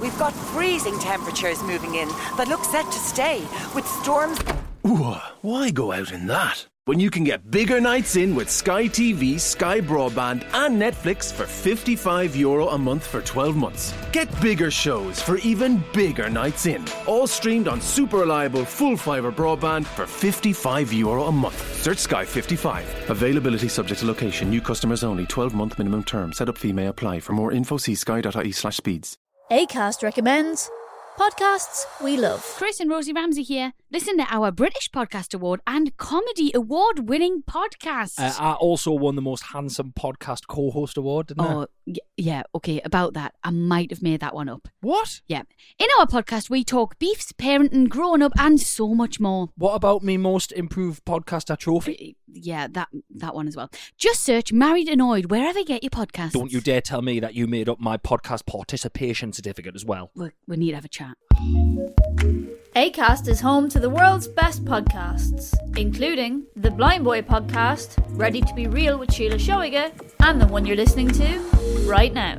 We've got freezing temperatures moving in that look set to stay, with storms. why go out in that? When you can get bigger nights in with Sky TV, Sky Broadband, and Netflix for €55 Euro a month for 12 months. Get bigger shows for even bigger nights in. All streamed on super reliable full fibre broadband for €55 Euro a month. Search Sky 55. Availability subject to location. New customers only. 12 month minimum term. Set up up fee may apply. For more info, see sky.ie slash speeds. ACAST recommends podcasts we love. Chris and Rosie Ramsey here. Listen to our British Podcast Award and Comedy Award winning podcast. Uh, I also won the Most Handsome Podcast Co host award, oh, yeah, okay, about that. I might have made that one up. What? Yeah. In our podcast, we talk beefs, parenting, growing up, and so much more. What about me Most Improved Podcaster trophy? yeah, that that one as well. Just search Married Annoyed wherever you get your podcast. Don't you dare tell me that you made up my podcast participation certificate as well. We we need to have a chat. Acast is home to the world's best podcasts, including the Blind Boy podcast, Ready to be Real with Sheila Showega, and the one you're listening to right now.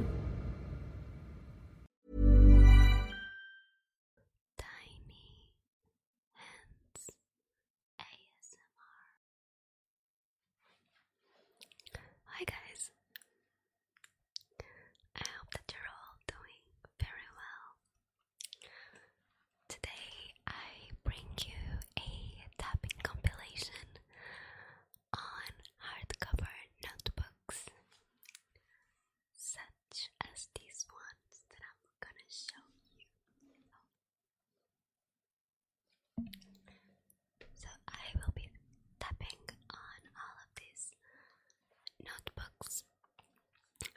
Tiny Hands ASMR. Hi guys. I hope that you're all doing very well. Today I bring you a tapping compilation on hardcover notebooks much as these ones that I'm gonna show you. So I will be tapping on all of these notebooks.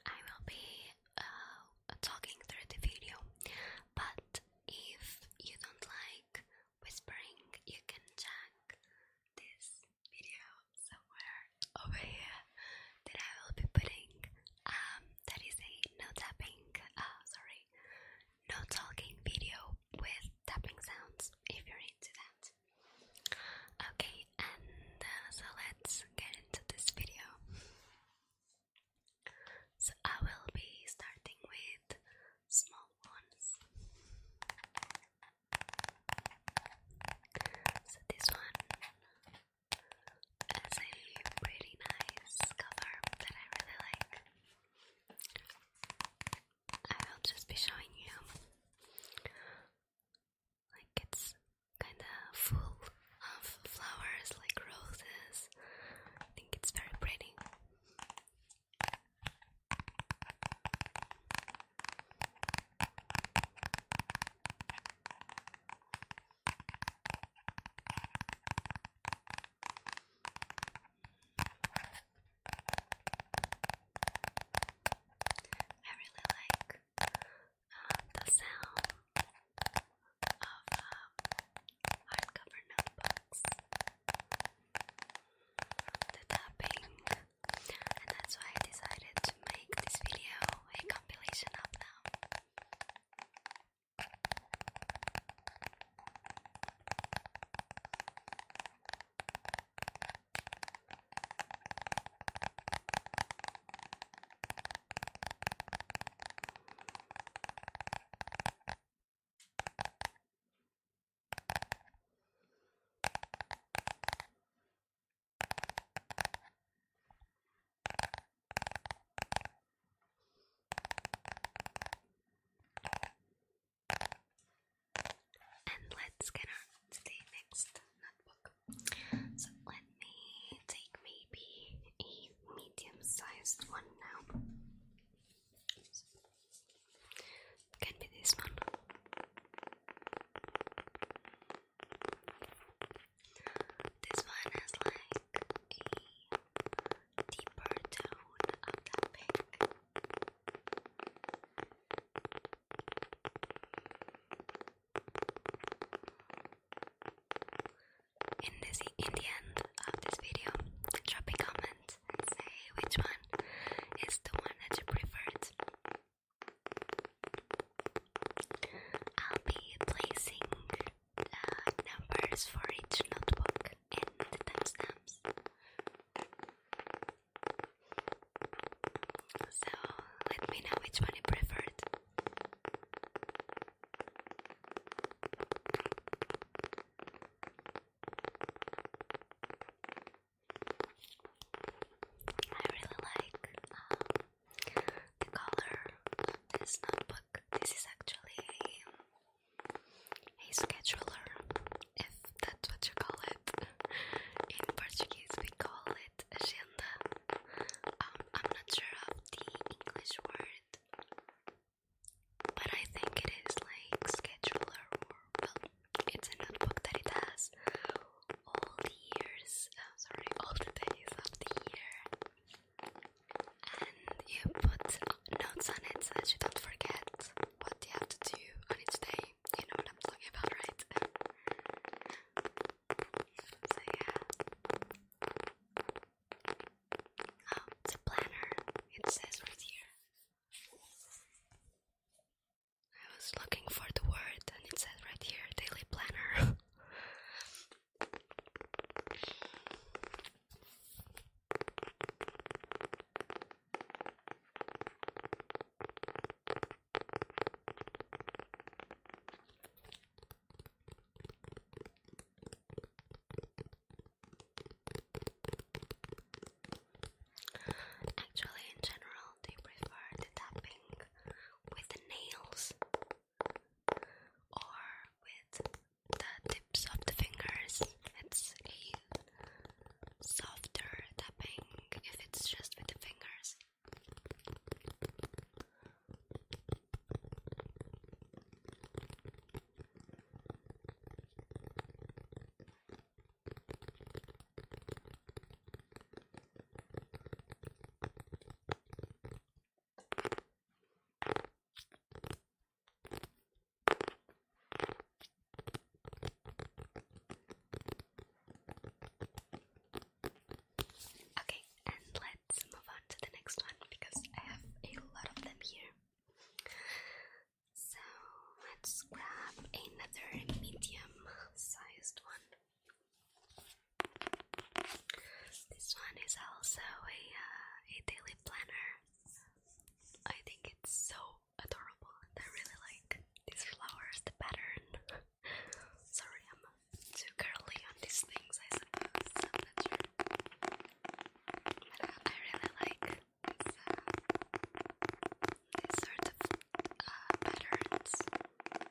I will be uh, talking through the video, but if you don't like whispering, you can check this video somewhere over here that I will be putting um that is a no tapping uh sorry no talking video with tapping sounds if you're into that. Okay, and uh, so let's get into this video. So I will be starting with small ones. So this one it's a really nice cover that I really like. I will just be showing you. Like it's kinda full of flowers like roses. I think it's very pretty. I really like um, the sound of um, hardcover notebooks, the tapping, and that's why I decided make this video a compilation of them. And let's get on next notebook. So let me take maybe a medium sized one now. Can be this one. This one is like a deeper tone of that pink. In this, in the end of this video, drop a comment and say which one is the one that you preferred. I'll be placing uh, numbers for each notebook and the timestamps. So let me know which one you preferred. I really like um, the color of this notebook. This is actually a, scheduler, if that's what you call it. In Portuguese, we call it agenda. Um, I'm not sure of the English word, but I think it is like scheduler it's a notebook that it has all the years, oh, sorry, all the days of the year, and you put notes on it so that you don't forget what you have to do on each day. You know what I'm talking about, right? so yeah. Oh, it's a planner. It says right here. I was looking for the word and it says right here daily planner. Actually, in general, they prefer the tapping with the nails or with the tips of the fingers. It's a softer tapping if it's just with the fingers. Okay, and let's move on to the next one because I have a lot of them here. So let's grab another medium sized one. This one is also a uh, a daily planner. I think it's so adorable, I really like these flowers, the pattern. Sorry, I'm too girly on these things, I suppose. But uh, I really like these uh, sort of patterns.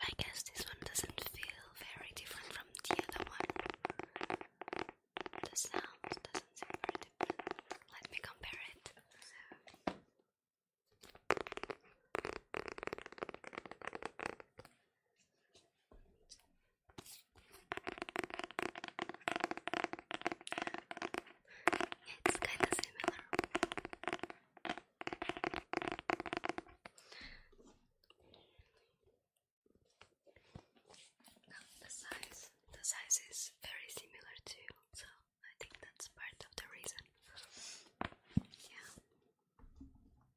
I guess this one doesn't feel very different from the other one. The sound doesn't seem very different. Let me compare it it's kind of similar. Now the size, the size is very similar too, so I think that's part of the reason. Yeah.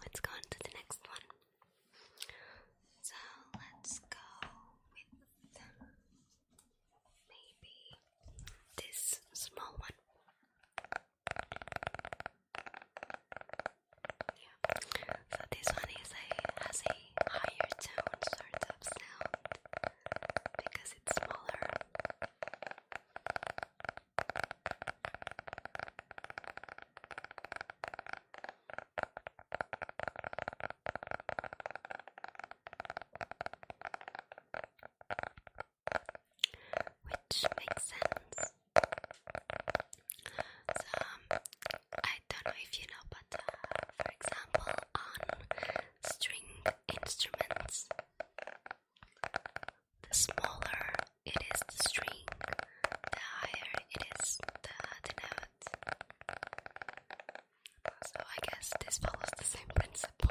Let's go on to the next one. So let's go with maybe this small one. Yeah. So this one is a has a higher tone sort of sound because it's smaller which makes sense. So, um, I don't know if you know, but uh, for example, on string instruments, the smaller it is string, the higher it is the, the So, I guess this follows the same principle.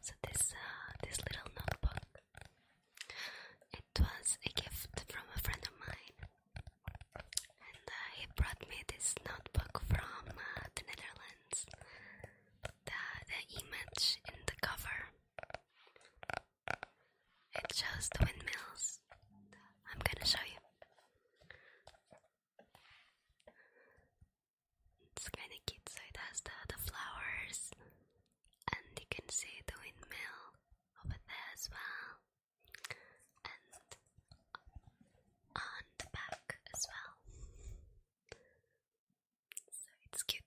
So this uh, this little notebook, it was a gift from a friend of mine, and uh, he brought me this notebook from uh, the Netherlands. The image in the cover, it shows windmills. I'm gonna show you. It's kind of cute. So it has the, the flowers, and you can see the windmill over there as well, and on the back as well. So it's cute.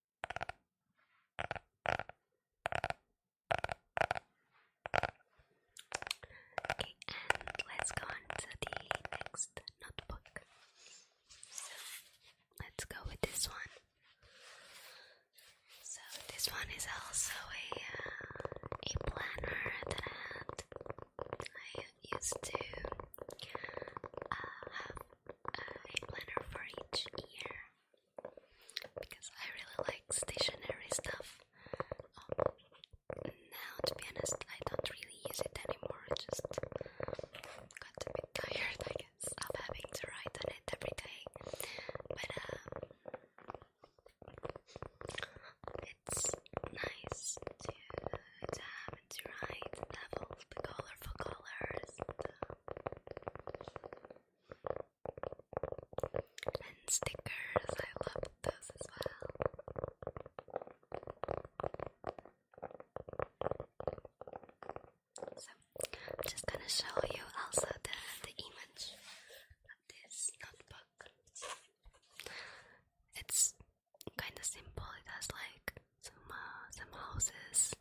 Okay, and let's go on to the next notebook. So let's go with this one. So this one is also a uh, a planner that I had. used to uh, have uh, a planner for each year because I really like stationary stuff. Um, now, to be honest, I don't really use it anymore. just got a bit tired, I guess, of having to write on it every day. But um, it's nice to, to have to write have all the colorful colors. And stickers, I love those as well. I'm just gonna show you also the, the image of this notebook. It's kind of simple, it has like some, uh, some houses,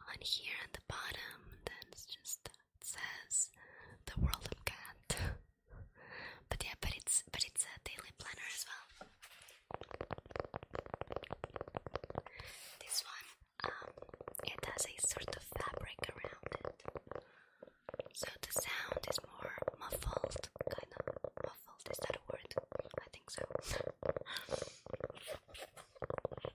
on here at the bottom that's just says the world of God. but yeah but it's but it's a daily planner as well this one um it has a sort of fabric around it so the sound is more muffled kind of muffled is that a word I think so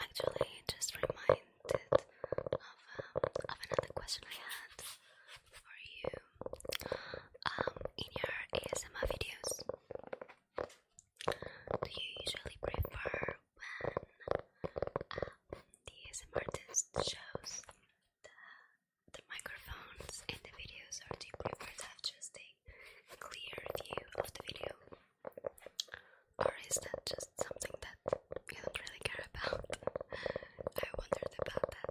Actually, just reminded of, um, of another question I had for you um, in your ASMR videos. Do you usually prefer when um, the ASMR artist shows the, the microphones and the videos, are do you prefer to have just a clear view of the video? Or is that just something that you don't really care about? I wondered about that.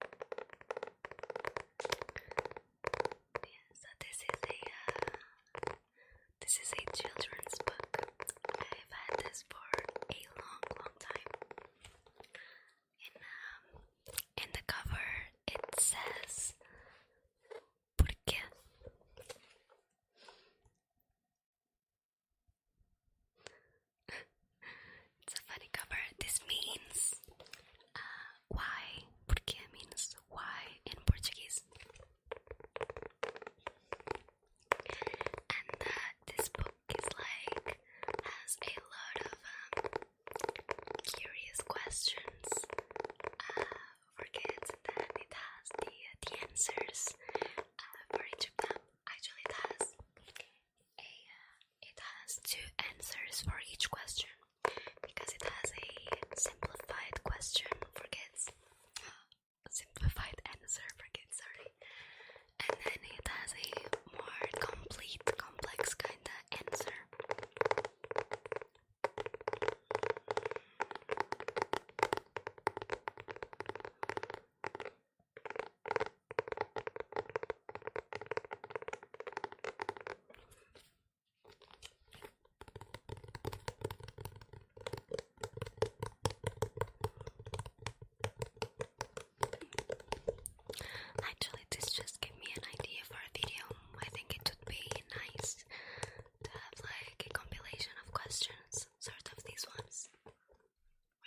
so this is a uh, this is a children's book. I've had this for a long, long time. And um, in the cover it says Por It's a funny cover. This means uh, why. Porque means why in Portuguese. And uh, this book is like has a lot of um, curious questions uh, for kids, and it has the uh, the answers for each of them. Actually, it it has two answers for each question because it has a simplified question for kids, simplified answer for kids, sorry, and then it has a more complete, complex kind of answer. Actually, this just gave me an idea for a video. I think it would be nice to have like a compilation of questions, sort of these ones,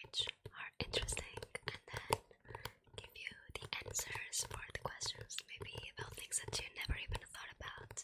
which are interesting, and then give you the answers for the questions, maybe about things that you never even thought about.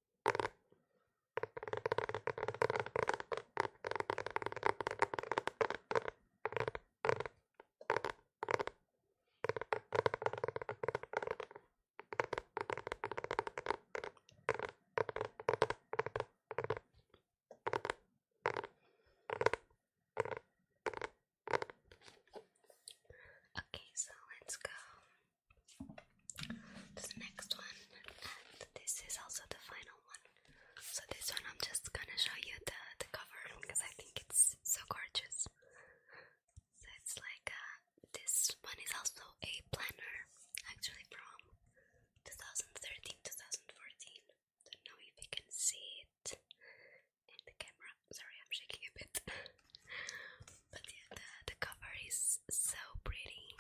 Okay, so let's go the next one, and this is also the final one. So this one, I'm just gonna show you the the cover because I think it's so gorgeous. So it's like uh, this one is also a planner, actually from 2013, 2014. Don't know if you can see it in the camera. Sorry, I'm shaking a bit. But yeah, the, the cover is so pretty.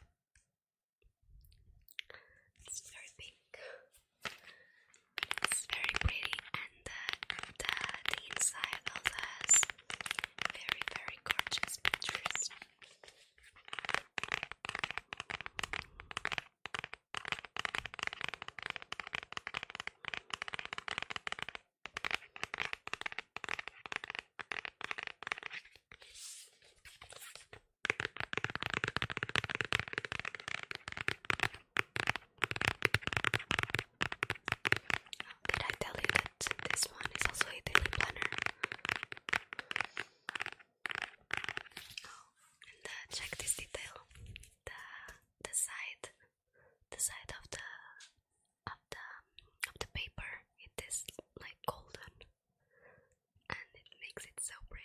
It's very big. It's very pretty, and the, the, inside also has very, very gorgeous pictures. Did I tell you that this one is also a daily planner? Oh, and uh, check this detail. The the side, the side of the of the of the paper it is like golden and it makes it so pretty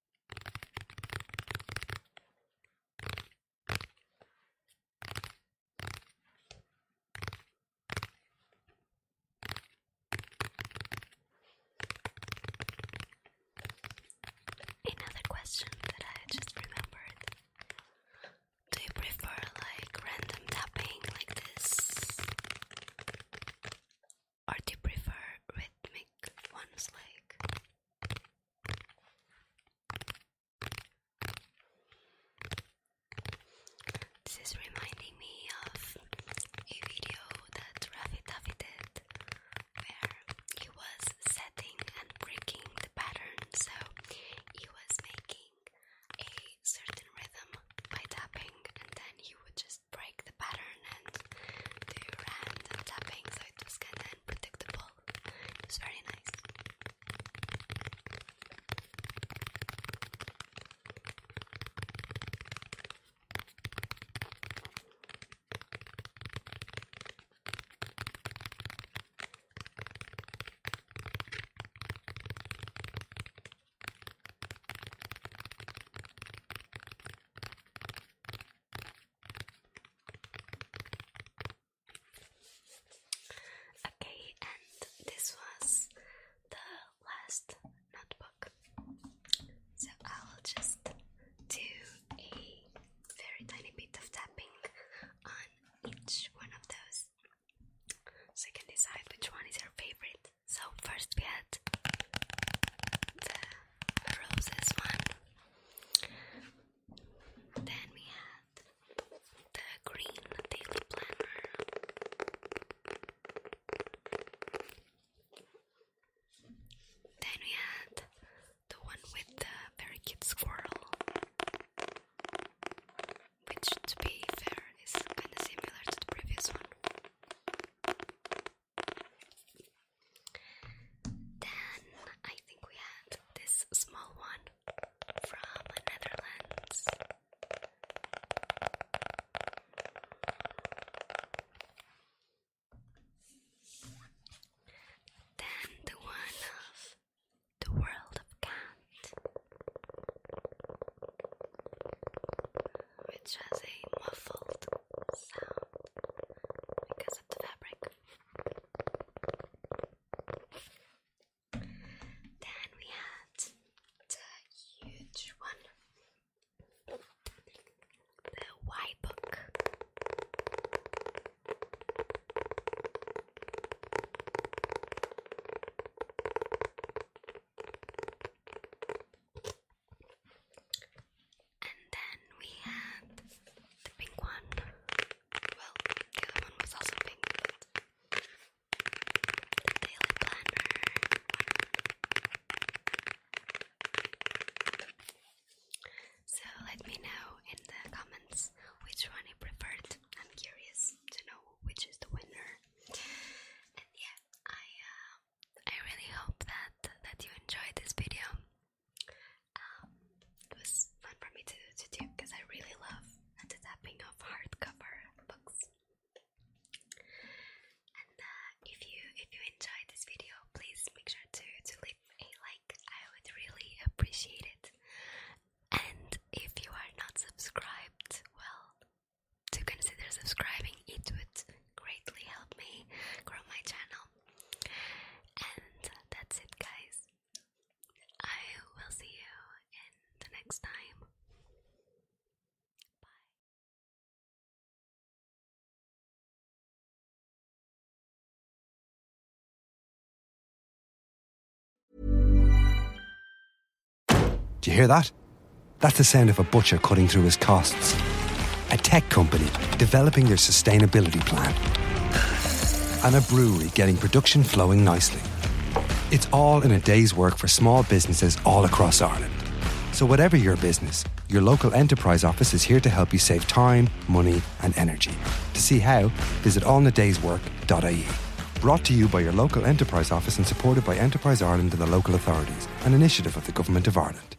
Another question that I just remembered. Do you prefer like random tapping like this? or do you prefer rhythmic ones like? This is reminding me of a video that Rafi Tavi did where he was setting and breaking the pattern. So he was making a certain rhythm by tapping and then he would just break the pattern and do random tapping, so it was kind of unpredictable. It was very nice. Okay, and this was the last notebook. So I'll just do a very tiny bit of tapping on each one of those so you can decide which one is your favorite. So, first we had the roses one. Then we had the green daily planner. Then we had the one with the very cute squirrel, which to be fair is kind of similar to the previous one. Then I think we had this small one from Netherlands. Then the one of the world of cat, which has a muffled sound because of the fabric. Then we had the huge one, the white book. And then we had the pink one. Well, the other one was also pink, the daily planner So let me know in the comments which one you preferred. I'm curious to know which is the winner. And yeah, I uh, I really hope that that you enjoyed this video. Um, it was fun for me to, to do because I really love the tapping of hardcover books. And uh, if you if you enjoyed this video, please make sure to to leave a like. I would really appreciate it. And if you are not subscribed, well, to consider subscribing, it would greatly help me grow my channel. And that's it, guys. I will see you in the next time. Bye. Do you hear that? That's the sound of a butcher cutting through his costs a tech company developing their sustainability plan, and a brewery getting production flowing nicely. It's all in a day's work for small businesses all across Ireland. So, whatever your business, your local enterprise office is here to help you save time, money, and energy. To see how, visit allinadayswork.ie. Brought to you by your local enterprise office and supported by Enterprise Ireland and the local authorities, an initiative of the Government of Ireland.